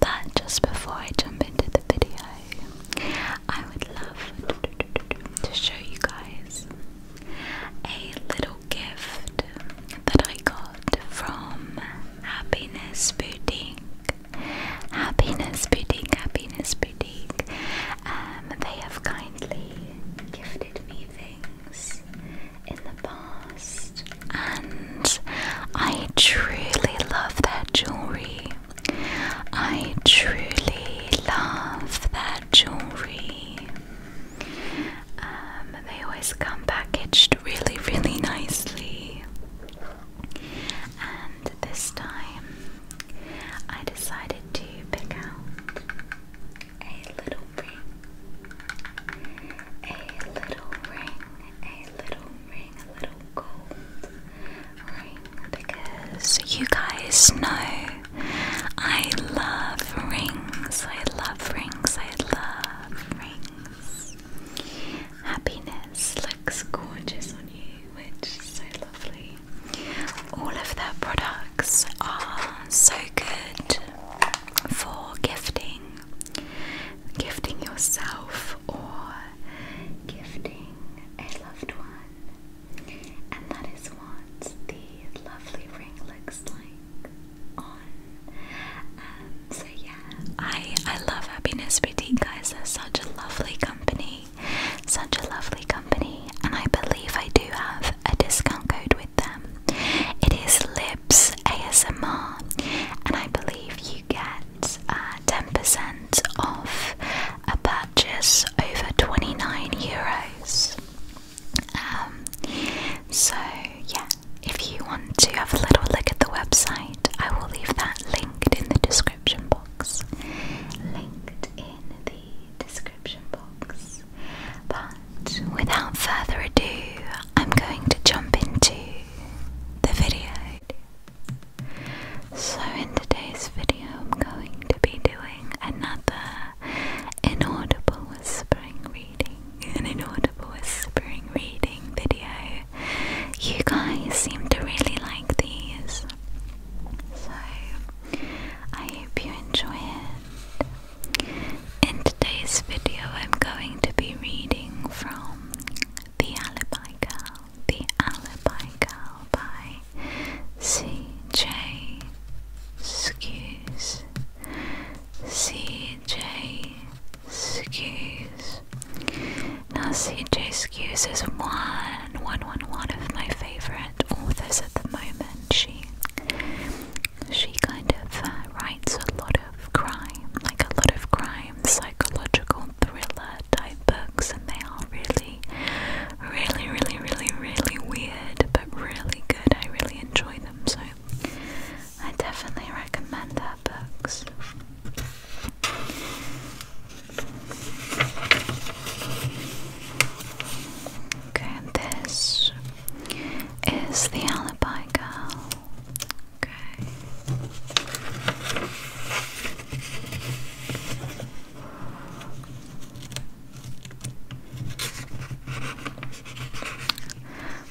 But just before I jump into the video, I would love to show you guys a little gift that I got from Happiness Boutique. Happiness Boutique, Happiness Boutique. Um, they have kindly gifted me things in the past, and I truly love their jewelry. I truly love their jewelry. Um, they always come packaged really, really nicely. And this time I decided to pick out a little ring, a little ring, a little ring, a little gold ring because you guys know I love rings, I love rings, I love rings. Happiness looks gorgeous on you, which is so lovely. All of their products are so good for gifting gifting yourself or gifting a loved one. And that is what the lovely ring looks like on. Um, so yeah, I I love Happiness Boutique guys. They're such a lovely company, such a lovely company, and I believe I do have a discount code with them. It is Lips ASMR, and I believe you get 10% uh, off a purchase over 29 euros. Um, so, yeah, if you want to have a little look at the website, I will leave that linked in the description box. Linked in the description box. But without further ado, I'm going to jump into the video. So, in today's video, I'm going to be doing another inaudible whispering reading, an inaudible whispering reading video. You guys seem to really like these, so I hope you enjoy it. In today's video, I'm going to be reading from The Alibi Girl, The Alibi Girl by C.J. Scuse. C.J. Scuse. Now, C.J. Skews is one, one, one, one of my favorite authors at the moment. She she kind of uh, writes a lot of crime, like a lot of crime, psychological thriller type books, and they are really, really, really, really, really weird, but really good. I really enjoy them, so I definitely recommend that books. Okay, this is the alibi girl. Okay.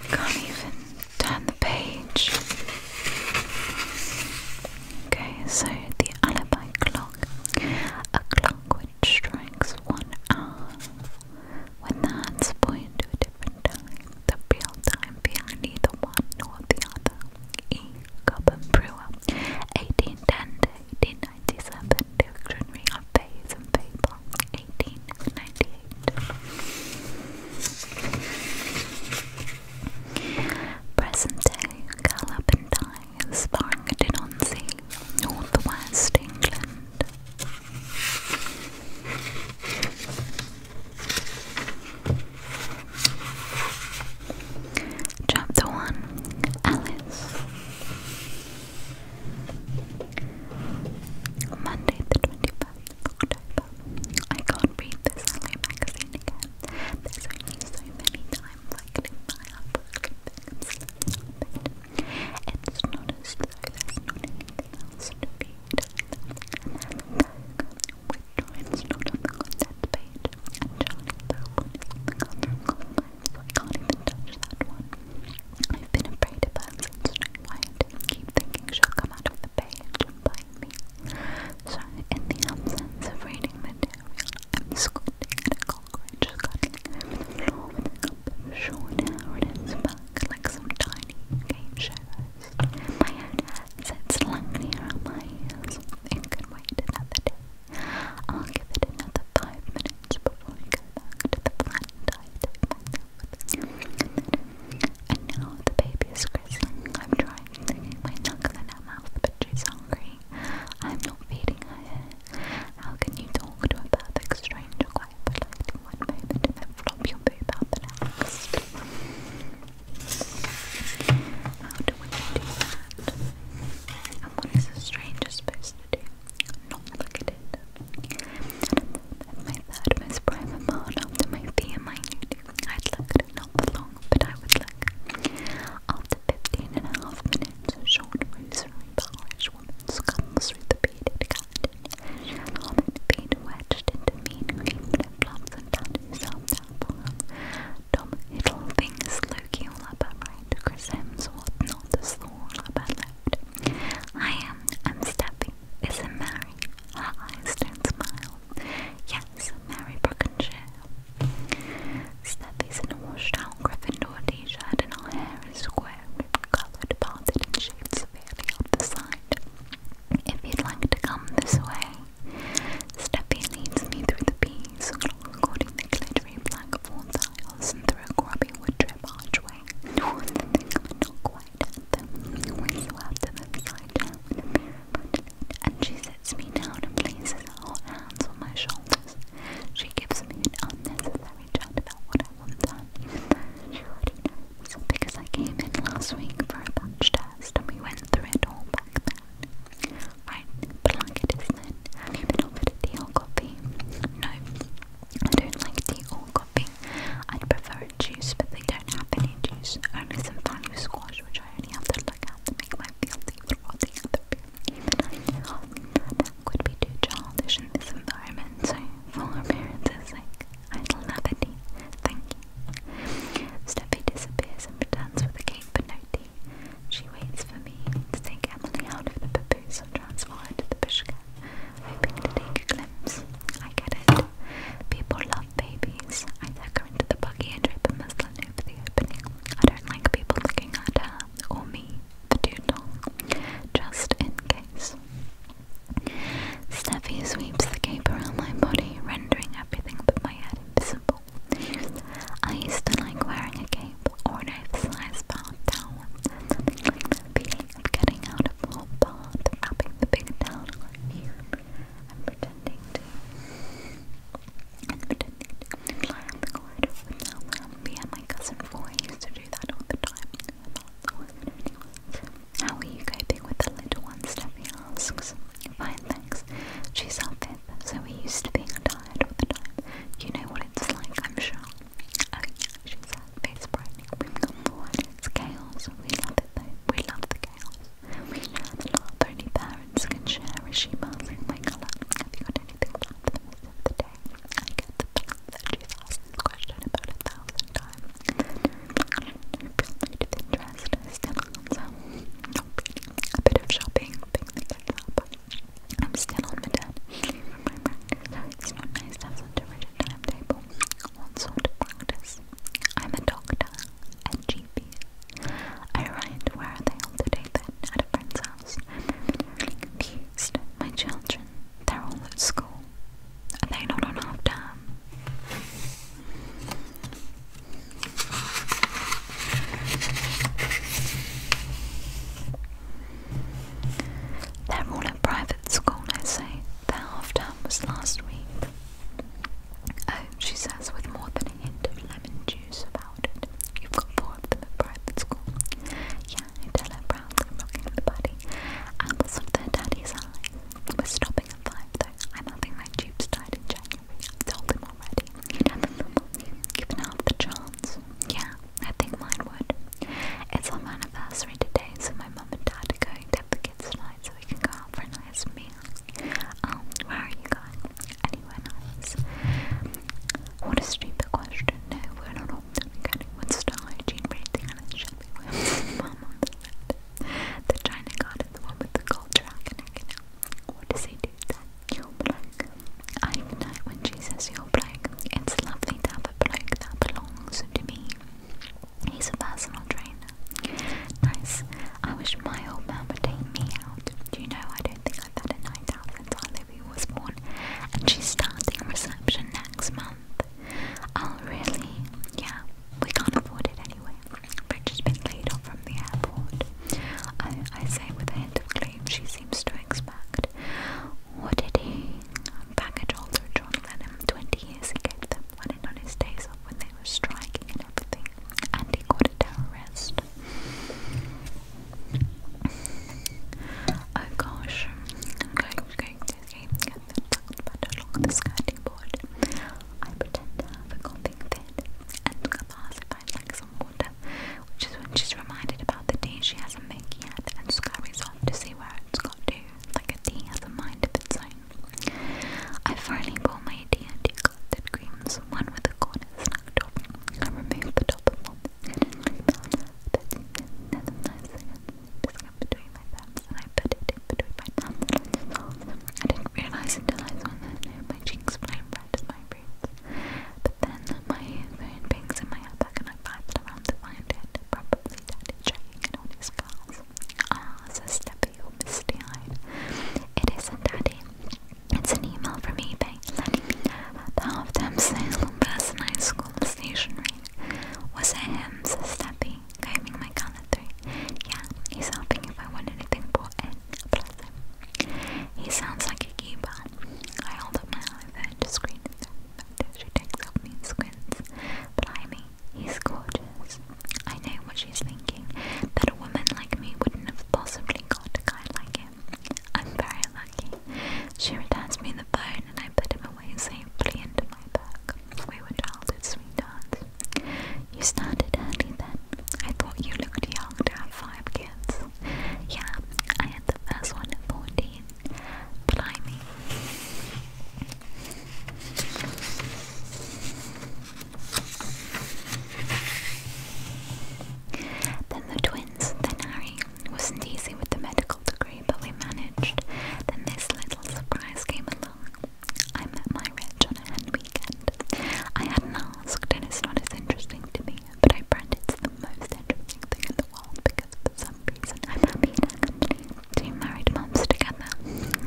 Can't even turn the page. Okay, so the alibi clock. A clock which strikes one hour when the hands point to a different time, the real time behind neither one nor the other. E. Cobham Brewer, 1810 to 1897, Dictionary of Phase and Paper, 1898. Present day Galapentine is lying North west England, Chapter 1 Alice Monday, the 25th I can't read this LA magazine again. There's only so many times I can buy up. Things, it's not as good there's anything else to be not on the content page, and on the content line, I can't even touch that one. I've been afraid of her since Snow White and keep thinking she'll come out of the page and bite me. So, in the absence of reading material, I'm squinting at just cuddling over the top of her shoulder or like some tiny game show My own hair sits lanky around my ears. It can wait another day. I'll give it another five minutes before I go back to the planned diet And the baby is grizzling. I'm trying to get my knuckle in her mouth, but she's hungry. I'm not feeding her how can you talk to a perfect stranger quite politely one moment and then flop your boob out the next? How do we do that? And what is a stranger supposed to do? Not look at it. my third most private part after my fear minute. I'd look at not for but I would look. After 15 and a half minutes, a short rosary polish woman's comes through beaded curtain. She had feet wedged into mean green flip and found herself down below. Tom Hiddle things Loki all up her right, Chris Hems whatnot the slow all left. I am, I'm Steffi. Isn't Mary? Her eyes don't smile. Yes, Mary Brookenshire. Steffi's in a washed brown Gryffindor t-shirt and our hair is square, coloured, parted and shaped severely on the side. If you'd like to come this way, Steppy leads me through the peas, according the glittery blackthorn tiles and through a grubby wood drip archway. Towards quite at them, we swerve to the side down with and she sits me down and places her hot hands on my shoulders. She gives me an unnecessary chat about what I want done, even though she already knows, because I came in last week for a batch test and we went through it all back then. Right, but like I then, have you been offered a tea or coffee? No, I don't like the or coffee. I'd prefer juice, but they don't have any juice, only some value squash, which I only have to look at to make my feel tea or the other that would be too childish in this environment, so for appearances sake, I'd thank you. Steffi disappears and returns with a cake but no tea. She waits for me to take Emily out of the papoose and transfer her the pushka, hoping to take a glimpse. I get it. People love babies. I tuck her into the buggy and drape a muslin over the opening. I don't like people looking at her, or me, just in case. Steffi sweeps the cape around my body, rendering everything but my head invisible. I used to like wearing a cape or an oversized bath towel. Nothing like getting out of the bath, wrapping the big towel around you, and pretending to didn't need to lie on the corridor with no lamp. Me and my cousin Foy used to do that all the time. I thought that wasn't really much. How are you coping with the little one, Steffi asks. Fine, thanks. She's our fifth, so we're used to being tired all the time. You know what it's like, I'm sure. Oh, yeah, she said, face brightening. We've got more. It's chaos. We love it, though. We love the chaos. We know that not only parents can share is she passing my colour. Have you got anything planned for the rest of the I get the fact that she's asked this question about a thousand times. Conflict of interest is still on A bit of shopping, picking things up. I'm still on my dead. It's not nice to such a rigid timetable. What sort practice? I'm a doctor, a I write where are they all today then? At a friend's house house. Confused. My children, they're all at school. Are they not on half term? They're all at private school, I say. Their half term was last week. Oh, she says with more than a hint of lemon juice You've got four of them at private school. Yeah, Nutella proudly rocking the body. Apples of their daddy's eyes. We're stopping at five though. I'm having my tubes tied in January. I've told him already. given half the chance. Yeah, I think mine would. It's our anniversary today, so my mum and dad are going to the kids tonight so we can go out for a nice meal. Um, where are you going? Anywhere nice. What a stupid question. No, we're not all done getting one star hygiene rating and it should the China card is the one with the gold dragon What does he do You're blank. I know when she says you're blank. It's lovely to have a bloke that belongs to me. He's a personal trainer. Nice. I wish my old man would take me out. Do you know I don't think I've had a night out since I baby was born, and she's starting reception next month. Oh, really? Yeah, we can't afford it anyway. Bridget's been laid off from the airport. I, say with a hint of claim she seems to expect. What did he? Package holder John Lennon. Twenty years he gave them, when on his days off when they were striking and everything. And he caught a terrorist. Oh gosh. Okay, okay, okay. But along the skirting board, I pretend to have a coughing fit and classified like some water, which is when she's reminded about the tea she hasn't made yet and scurries off to see where it's got to, like a tea has a mind of its own. I finally pour my tea into a clotted creams, one with a corner snagged I remove the I didn't realize until I saw that my cheeks flame red as my roots. then my phone pings in my outback and I piped around to find it. Probably daddy checking on his cars. Ah, says Steppy all misty It isn't daddy, it's an email from eBay letting me know that the half-term sale on personalized school stationery was a hymns steppy combing my gallery. Yeah, he's helping if I want anything bought in. Bless him. He sounds like a keeper. I hold up my and just screen his photo. She takes me and squints. Blimey, he's gorgeous. I know what she's thinking, that a woman like me wouldn't have possibly got a guy like him. I'm very lucky. She returns me the phone and I put him away safely into my bag. We were childhood sweethearts. You started early then. I thought you looked young to have five kids. Yeah, I had the first one at 14. Blimey. Then the twins, then Harry wasn't easy with the medical degree, but we managed. Then this little surprise came along. I met my rich on a weekend. I hadn't asked, and it's not as interesting to me, but I brand it's the most interesting thing in the world because for some reason I'm happy Two married moms together.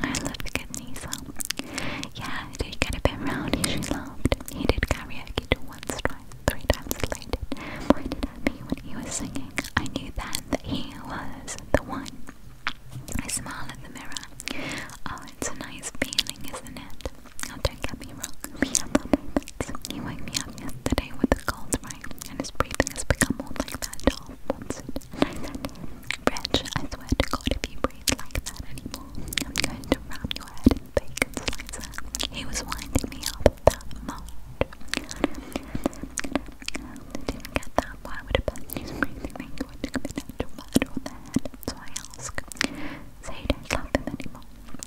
I love a good Yeah, it did get a bit rowdy, she laughed. He did karaoke he to once, twice, three times elated, pointed at me when he was singing. I knew then that he was the one. I smiled at the mirror. Oh, it's a nice feeling, isn't it? i oh, don't get me wrong. We have our moments. He woke me up yesterday with a cold right, and his breathing has become more like that dog to him, Rich, I swear to God, if you breathe like that anymore, I'm going to ram your head he was winding me up that much. didn't get that. Why would a person use breathing language to commit actual murder on their head? So I asked. So you don't love him anymore?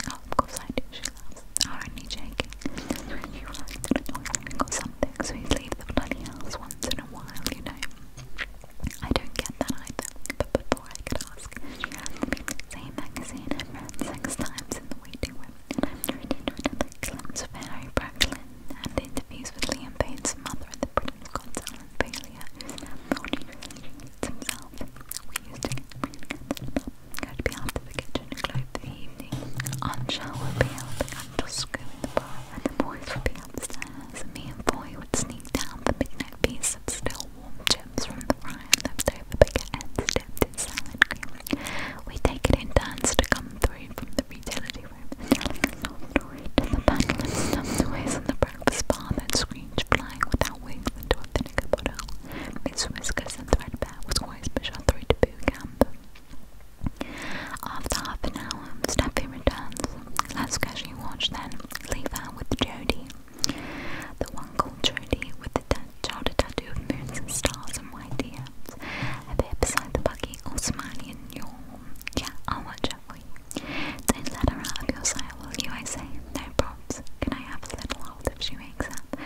Oh, of course I do, she laughs. i only joking. You realized something, so he'd leave the bloody house once in a while, you know. I don't get that either, but before I could ask, she asked me the same magazine I've read six times in the waiting room, and I'm reading to another glimpse of Harry Bracklin and interviews with Liam Payne's mother and the Britain's Got Talent failure, who's now mourning himself. We used to get really good Go to be out of the kitchen and glow for the evening. Aunt Shell would be helping Uncle Screw in the bar, and the boys would be upstairs, and me and Boy would sneak down the midnight piece of still chips from the fry and leftover baguettes dipped in salad cream. We take it in turns to come through from the reality room to the pantless stuffed toys on the breakfast bar that screech flying without wings into a vinegar bottle. Miss Whiskers Threadbare was always pushed through boot camp. After half an hour, Steffi returns. Let's casually watch then. Leave her with Jody the one called Jody with the childhood tattoo of moons and stars and white DMs. A bit beside the buggy, all smiling and yawn. Yeah, I'll watch out for let her out of your sight, will you? I say, no props. Can I have a little hold if she wakes up?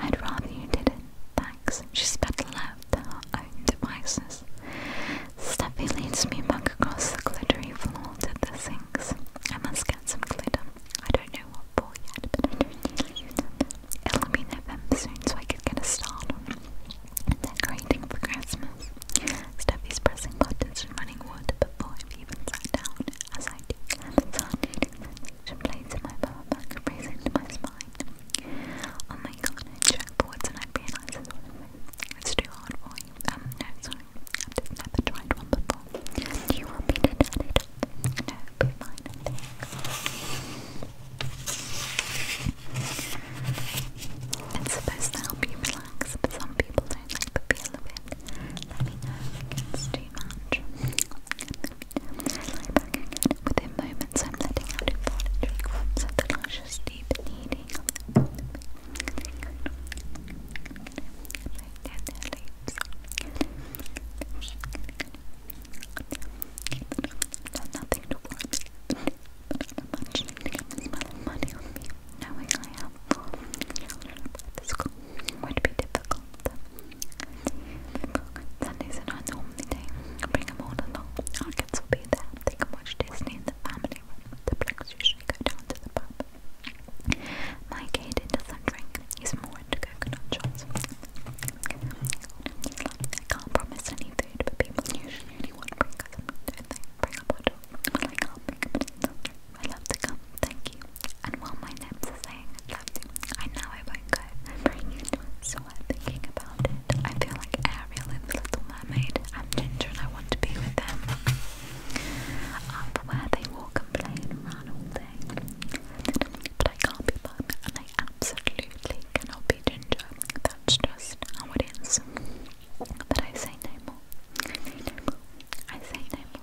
I'd rather you didn't. Thanks. She's better left to her own devices. Steffi leads me back across the glittery floor to the sinks. I must get some glitter. I don't know what for yet, but I don't really use it. will be November soon, so I can get a start on decorating for Christmas. Steffi's pressing buttons and running water before I've even sat down, as I do. The sardine sensation plays in my power bank, racing to my spine. Oh my god, I check boards and I realize it's too hard for sorry. Um, no, sorry. I've never tried one before. Do you want me to turn it No, it fine, It's supposed to help you relax, but some people don't like the feel of it. too much. Within moments, I'm letting out important frequencies of the luscious, deep there's nothing to worry about. She money on me, knowing I have this school would be difficult. Sundays are not Bring them all along. Our will be there. They can watch Disney family The blacks usually go down to the pub. My Katie doesn't drink. He's more into coconut shots. I can't promise any but people usually only want bring them, Bring a bottle. Well, I can bring a bottle. I love to come, thank you. And while my lips are saying I love you, I know I won't go. i it, so I'm thinking about it. I feel like Ariel in the Little I'm Ginger and I want to be with them. Um, where they walk complain and run all day. But I can't be Mum and I absolutely cannot be Ginger. That's just how it is. But I say no more. I say no more. I say no more.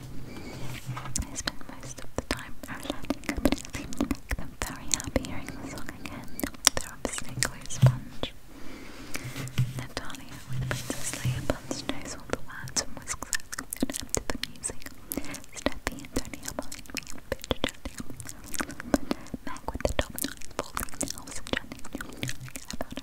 I spend most of the time relaxing, but it seems to make them very happy hearing the song again. They're obviously quite sponge. Natalia, when Princess Leia Bunce knows all the words and whisks out and to the music. Steffi and Tony and bitch chatting. with the top nine, falling in about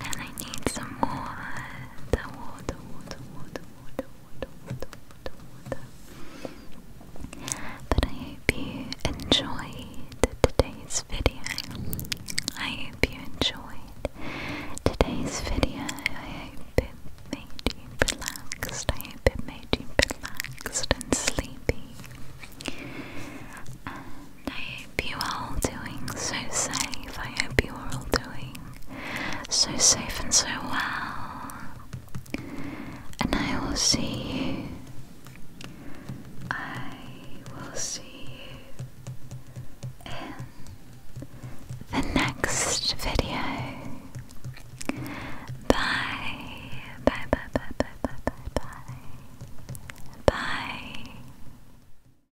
And I need some more. The water, water, water, water, water, water, water, water. But I hope you enjoyed today's video. I hope you enjoyed today's video. I hope it made you relaxed. I hope it made you relaxed and sleepy. I you are all doing so safe. I hope you are all doing so safe and so well. And I will see you. I will see you in the next video. Bye. Bye, bye, bye, bye, bye, bye, bye. Bye.